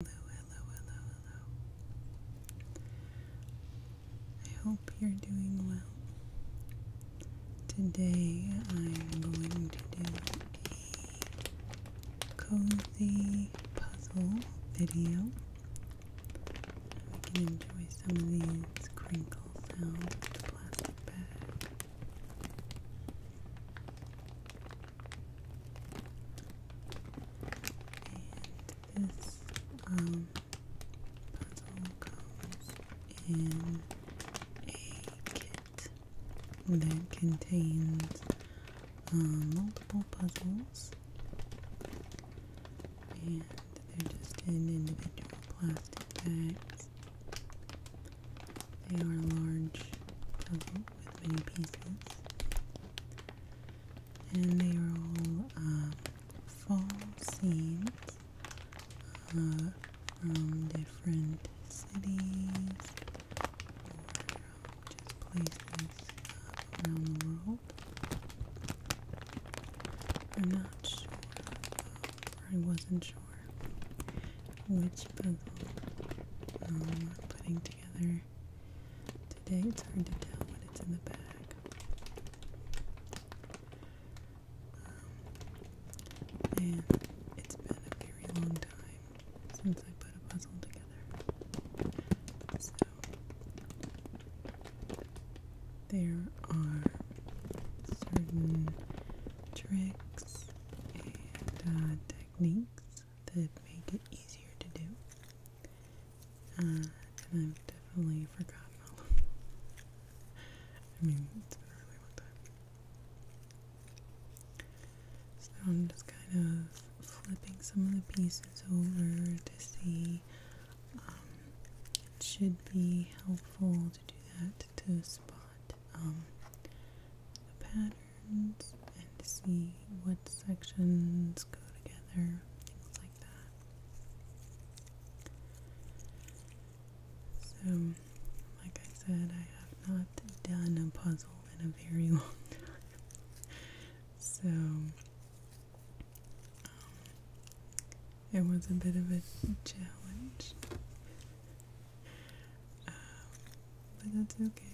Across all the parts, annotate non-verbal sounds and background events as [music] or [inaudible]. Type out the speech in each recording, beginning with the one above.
Hello, hello, hello, hello. I hope you're doing well. Today I'm going to do a cozy puzzle video. enjoy some of these crinkle sounds plastic bag. And this um, puzzle comes in a kit that contains uh, multiple puzzles, and they're just in individual plastic bags. They are a large puzzle with many pieces and they are all uh, fall scenes uh, from different cities or just places uh, around the world. I'm not I wasn't sure which puzzle um, I'm putting together Today it's hard to tell when it's in the bag. Um, and it's been a very long time since I put a puzzle together. So, there are certain tricks and uh, techniques that make it easier to do. Uh, I've definitely forgotten [laughs] I mean, it's been a really long time. So I'm just kind of flipping some of the pieces over to see. Um, it should be helpful to do that to spot um, the pattern and see what sections go together, things like that. So, like I said, I have not done a puzzle in a very [laughs] long time. So, um, it was a bit of a challenge. Um, but that's okay.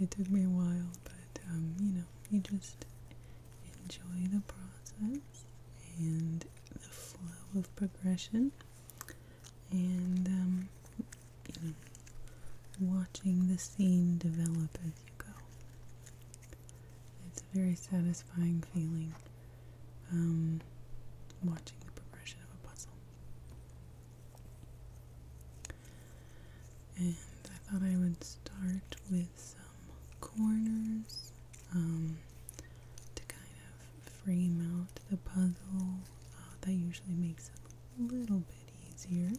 It took me a while, but um, you know, you just enjoy the process and the flow of progression, and um, you know, watching the scene develop as you go. It's a very satisfying feeling um, watching the progression of a puzzle. And I thought I would start with some corners um, to kind of frame out the puzzle. Uh, that usually makes it a little bit easier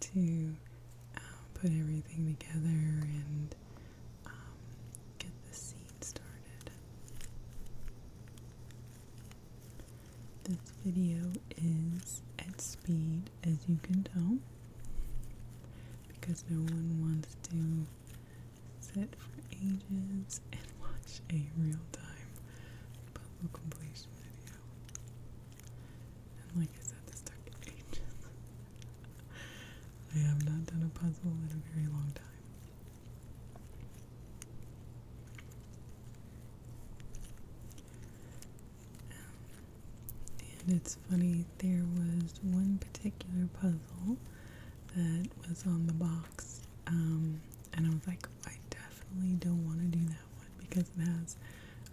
to uh, put everything together and um, get the scene started. This video is at speed, as you can tell, because no one wants to sit for ages and [laughs] watch a real time puzzle completion video. And like I said, this took ages. [laughs] I have not done a puzzle in a very long time and it's funny, there was one particular puzzle that was on the box, um, and I was like, I definitely don't want to do that one because it has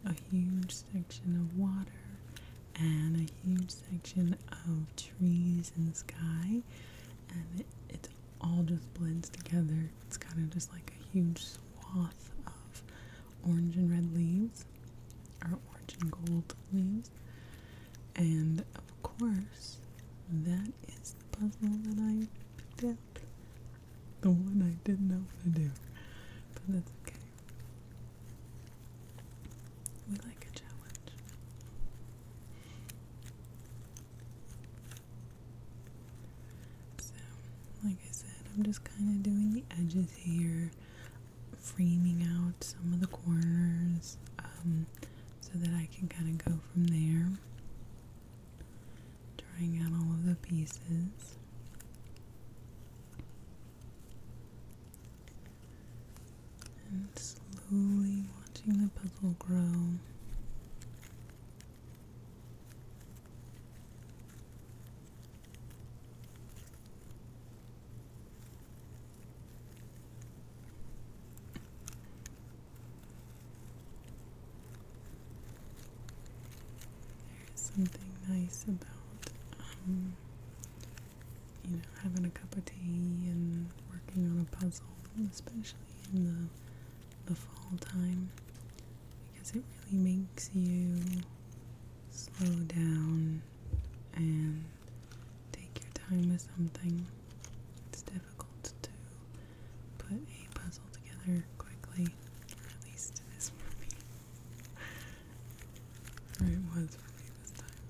a huge section of water and a huge section of trees and sky, and it, all just blends together. It's kind of just like a huge swath of orange and red leaves, or orange and gold leaves. And of course, that is the puzzle that I picked out. The one I didn't know how to do. But that's okay. We like a challenge. So, like I said, I'm just kind of doing the edges here, framing out some of the corners um, so that I can kind of go from there. trying out all of the pieces. And slowly watching the puzzle grow. There's something nice about, um, you know, having a cup of tea and working on a puzzle, especially in the the fall time because it really makes you slow down and take your time with something. It's difficult to put a puzzle together quickly, or at least this for me. [laughs] it was for me this time.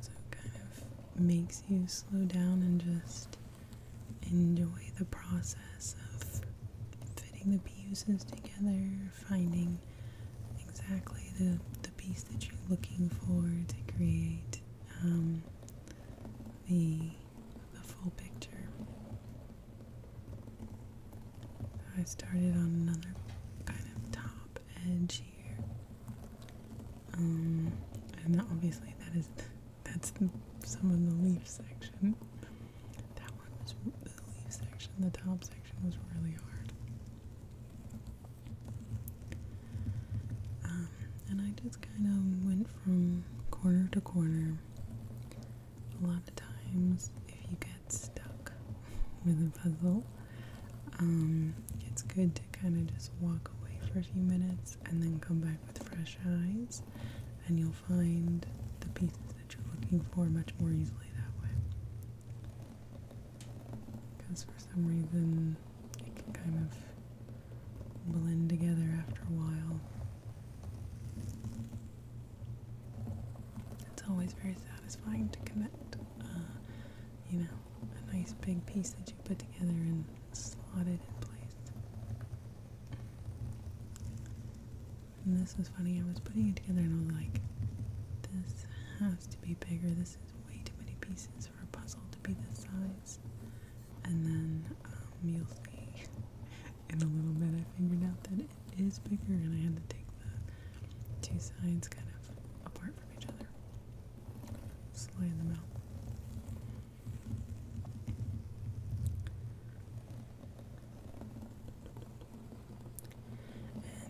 So it kind of makes you slow down and just enjoy the process of fitting the pieces together, finding exactly the, the piece that you're looking for to create um, the, the full picture. I started on another kind of top edge share. Um, and obviously that is that's some of the leaf section. That one was the leaf section. The top section was really hard. Um, and I just kind of went from corner to corner. A lot of times, if you get stuck with a puzzle, um, it's good to kind of just walk away for a few minutes and then come back with fresh eyes, and you'll find the pieces that you're looking for much more easily that way. Because for some reason, it can kind of blend together after a while. It's always very satisfying to connect, uh, you know, a nice big piece that you put together and slotted in place. And this was funny, I was putting it together and I was like, this has to be bigger, this is way too many pieces for a puzzle to be this size. And then um, you'll see [laughs] in a little bit I figured out that it is bigger and I had to take the two sides kind of apart from each other. Just laying them out.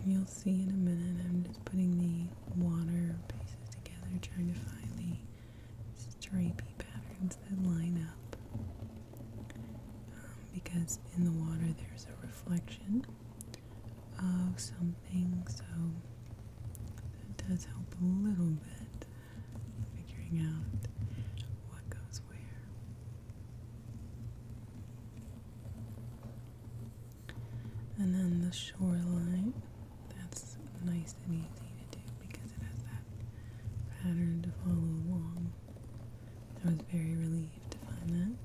And you'll see in a minute, I'm just putting the water pieces together, trying to find the stripy patterns that line up. Um, because in the water there's a reflection of some so that does help a little bit figuring out what goes where. And then the shoreline, that's nice and easy to do because it has that pattern to follow along. I was very relieved to find that.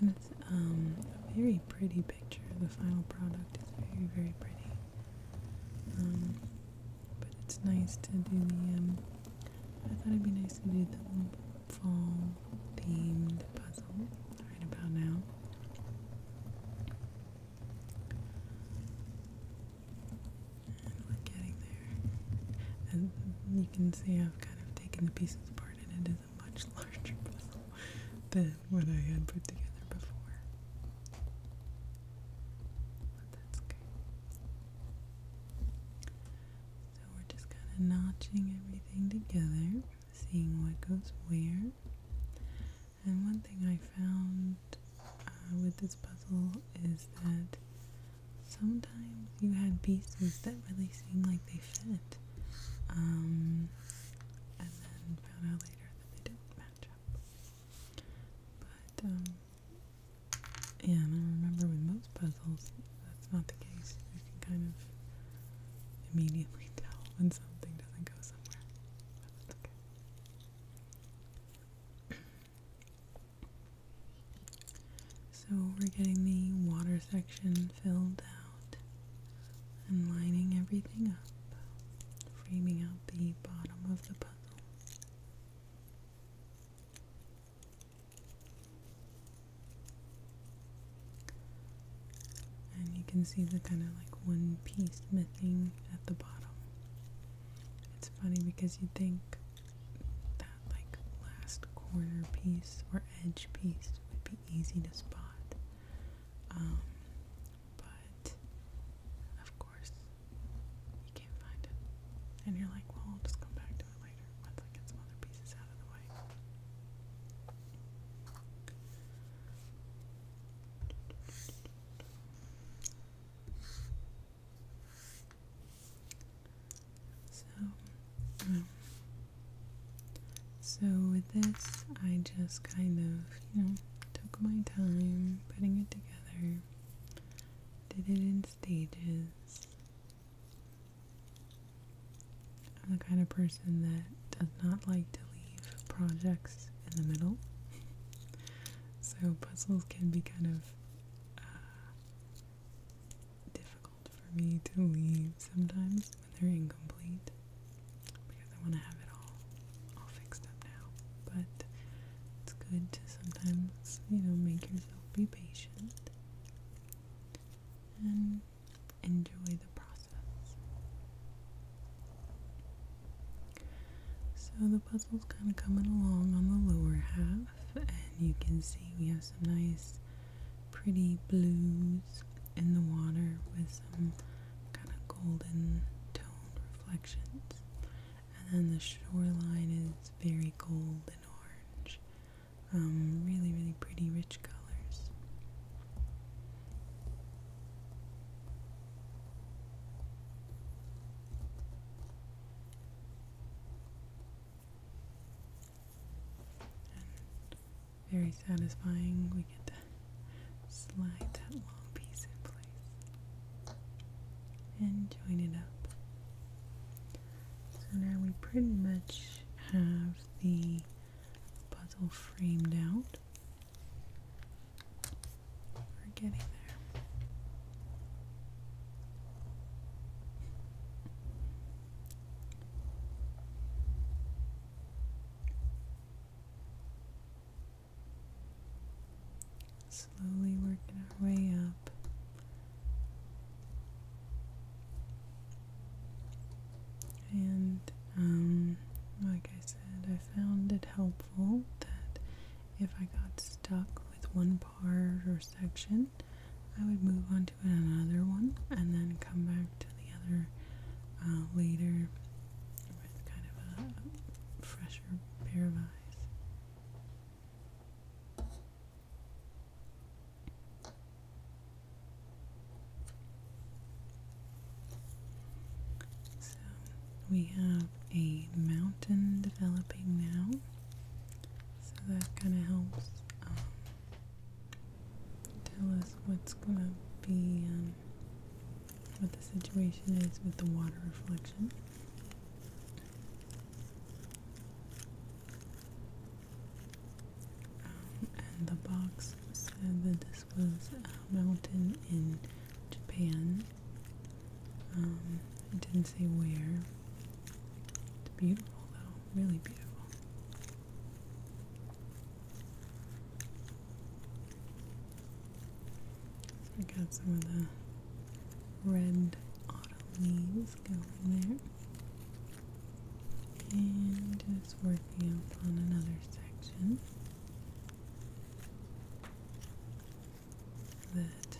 And it's um, a very pretty picture. The final product is very, very pretty. Um, but it's nice to do the. Um, I thought it'd be nice to do the fall themed puzzle right about now. And we're getting there. And you can see I've kind of taken the pieces apart and it is a much [laughs] larger puzzle than what I had put together before. But that's okay. So we're just kind of notching everything together, seeing what goes where. And one thing I found uh, with this puzzle is that sometimes you had pieces that really seemed like they fit, um, and then found out later that they didn't match up. But, um, yeah, I remember with most puzzles, that's not the case. You can kind of immediately [laughs] tell when something doesn't go somewhere. But that's okay. So we're getting the water section filled out and lining everything up, framing out the bottom of the puzzle. And you can see the kind of like one piece missing at the bottom. It's funny because you'd think that like last corner piece or edge piece would be easy to spot. Um, but of course you can't find it. And you're like, well, I'll just come back to it later once I get some other pieces out of the way. So, um, so with this, I just kind of, you know, took my time putting it together, did it in stages. I'm the kind of person that does not like to leave projects in the middle. [laughs] so puzzles can be kind of uh, difficult for me to leave sometimes when they're incomplete because I want to have it all all fixed up now. But it's good to sometimes, you know, make yourself be patient and enjoy the process. So the puzzle's kind of coming along on the lower half and you can see we have some nice pretty blues in the water with some kind of golden toned reflections and then the shoreline is very gold and orange um, really really pretty rich colors and very satisfying. We get to slide that long piece in place and join it up. So now we pretty much have the puzzle framed out. We're Slowly working our way up. And, um, like I said, I found it helpful that if I got stuck with one part or section, I would move on to another one and then come back to the other uh, later with kind of a fresher pair of eyes. So we have a mountain developing now. So that kind of helps um, tell us what's going to be, um, what the situation is with the water reflection. Um, and the box said that this was uh, a mountain in Japan um, it didn't say where. It's beautiful though, really beautiful. So got some of the red autumn leaves going there. And just working up on another section that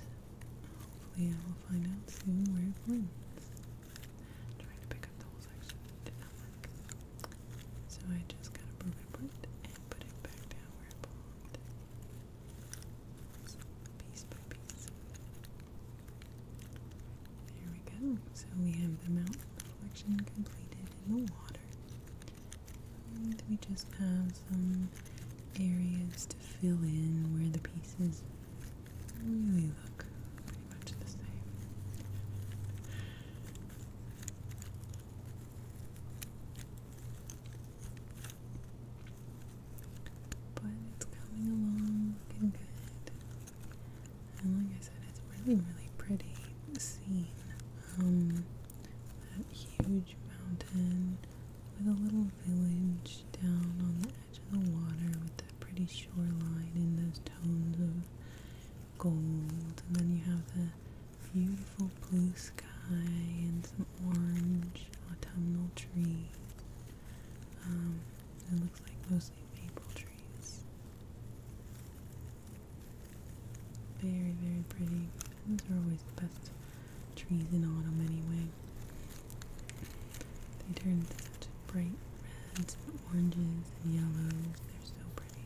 hopefully I will find out soon where it blends. trying to pick up the whole section, So I just kind of broke it apart and put it back down where it belonged. So piece by piece. There we go. So we have the mountain reflection completed in the water. And we just have some areas fill in where the pieces really look pretty much the same. But it's coming along looking good. And like I said, it's really, really pretty scene. Um, that huge mountain with a little village down on the edge of the water with that pretty shoreline and those tones of gold. And then you have the beautiful blue sky and some orange autumnal trees. Um, it looks like mostly maple trees. Very, very pretty. Those are always the best trees in autumn anyway. They turn to such bright reds and oranges and yellows. They're so pretty.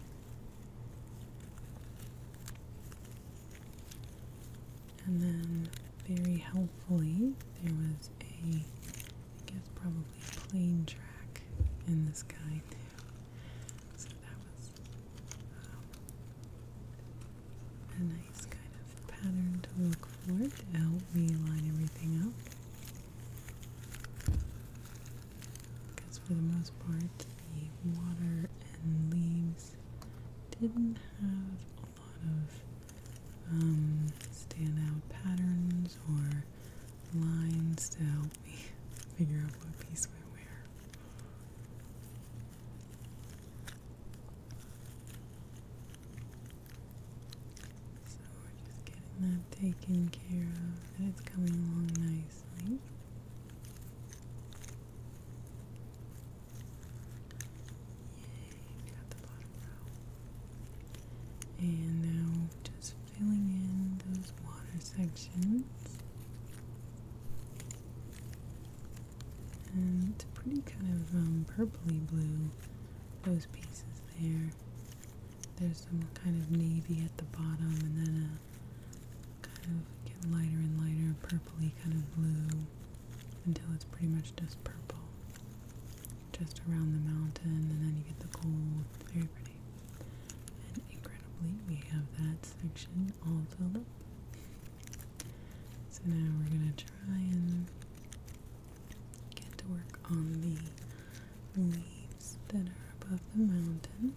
And then, very helpfully, there was a, I guess, probably plane track in the sky too. So that was a nice kind of pattern to look for to help me line everything up. Because for the most part, the water and leaves didn't have a lot of um, out patterns or lines to help me [laughs] figure out what piece went where. So we're just getting that taken care of, and it's coming along nicely. Yay, got the bottom row. And now just filling in those water sections and pretty kind of um, purpley blue, those pieces there. There's some kind of navy at the bottom, and then a kind of get lighter and lighter purpley kind of blue until it's pretty much just purple just around the mountain, and then you get the gold. Very pretty. And incredibly, we have that section all filled up. So now we're going to try and get to work on the leaves that are above the mountain.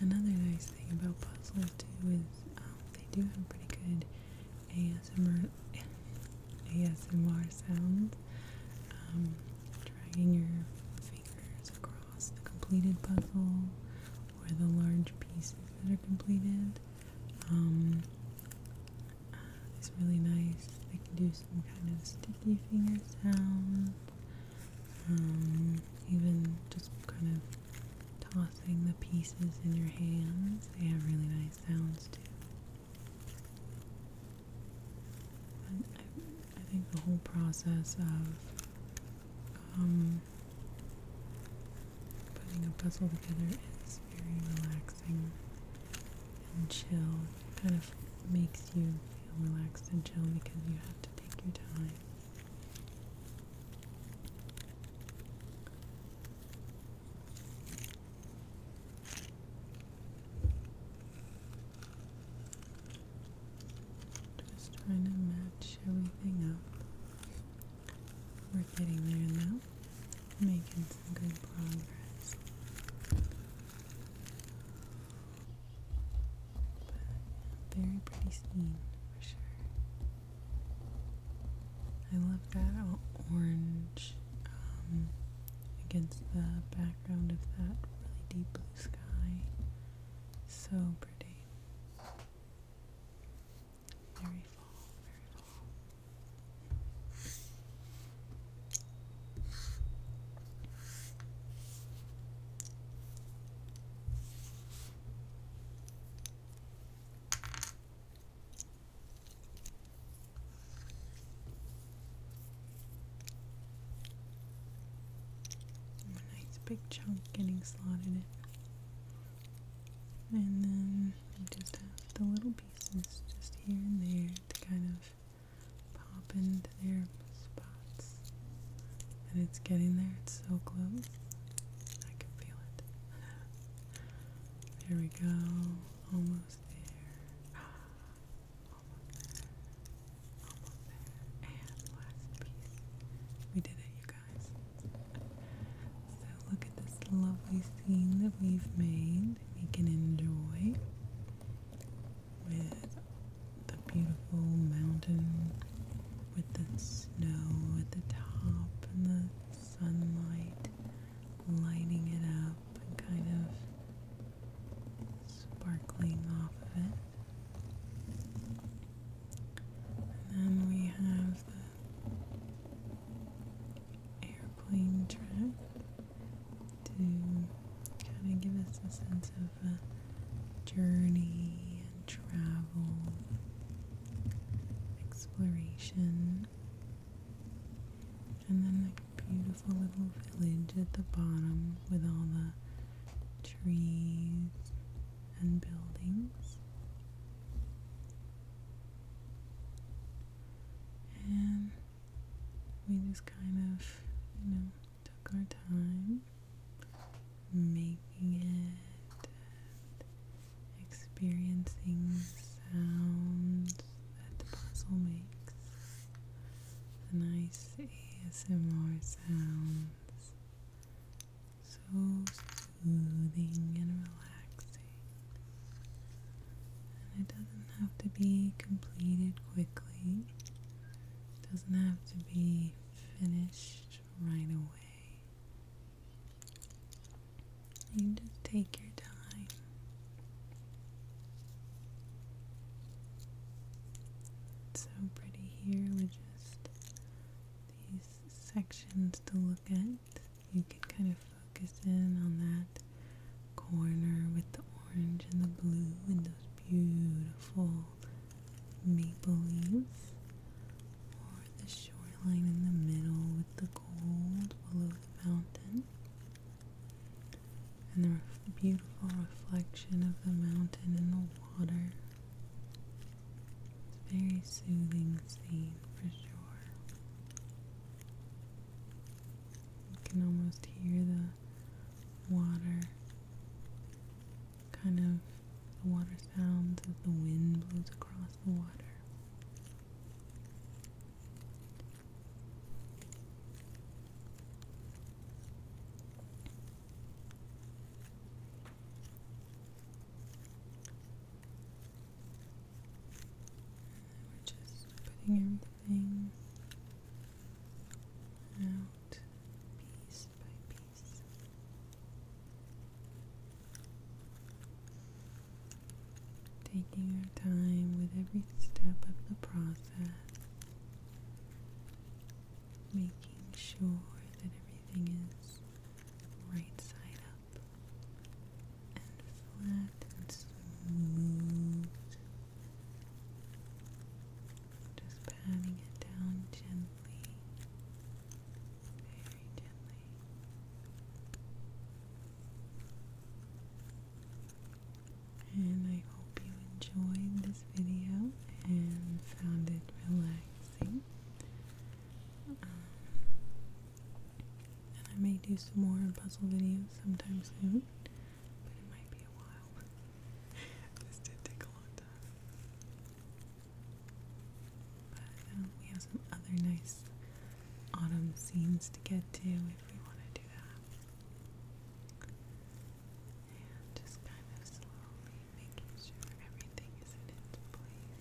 Another nice thing about Puzzler too is um, they do have pretty good ASMR ASMR sounds. Um, dragging your fingers across the completed puzzle or the large pieces that are completed um, is really nice. They can do some kind of sticky fingers sounds, um, even just kind of tossing the pieces in your hands. They have really nice sounds too. I, think the whole process of um, putting a puzzle together is very relaxing and chill. It kind of makes you feel relaxed and chill because you have to take your time. Just trying to match everything up. We're getting there now, making some good progress. But very pretty scene for sure. I love that orange um, against the background of that really deep blue sky. So pretty. Very fall, a nice big chunk getting slotted in. And then just have the little pieces just here and there to kind of pop into their spots. And it's getting there, it's so close. I can feel it. [laughs] There we go, almost there. Ah. We did it, you guys. So look at this lovely scene that we've made. We can enjoy with the beautiful mountain with the snow at the top and the sunlight lighting it up kind of sparkling off of it. And then we have the airplane track to kind of give us a sense of journey and travel, exploration. And then beautiful little village at the bottom with all the trees and buildings. And we just kind of, you know, took our time making it, and experiencing sounds that the puzzle makes. The nice ASMR sounds. So soothing and relaxing. And it doesn't have to be completed quickly. It doesn't have to be finished right away. You just take your time. It's so pretty here with just these sections to look at. You can kind of focus in on that corner with the orange and the blue and those beautiful maple leaves. Or the shoreline in the middle with the gold below the mountain and the beautiful reflection of the mountain in the water. It's a very soothing scene for sure. You can almost hear the water kind of the water sounds as the wind blows across the water. We're just putting everything out piece by piece taking our time with every step of the process, making sure that everything is right side up and flat and smooth. Just patting it down gently, very gently. And I hope you enjoyed this video and found it relaxing. Um, and I may do some more puzzle videos sometime soon, but it might be a while. [laughs] this did take a long time. But um, we have some other nice autumn scenes to get to if we want to do that. just kind of slowly making sure everything is in its place.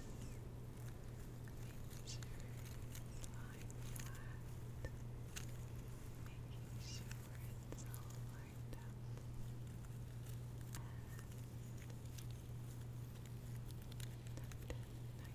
Making sure it's lying flat. Making sure it's all lined up.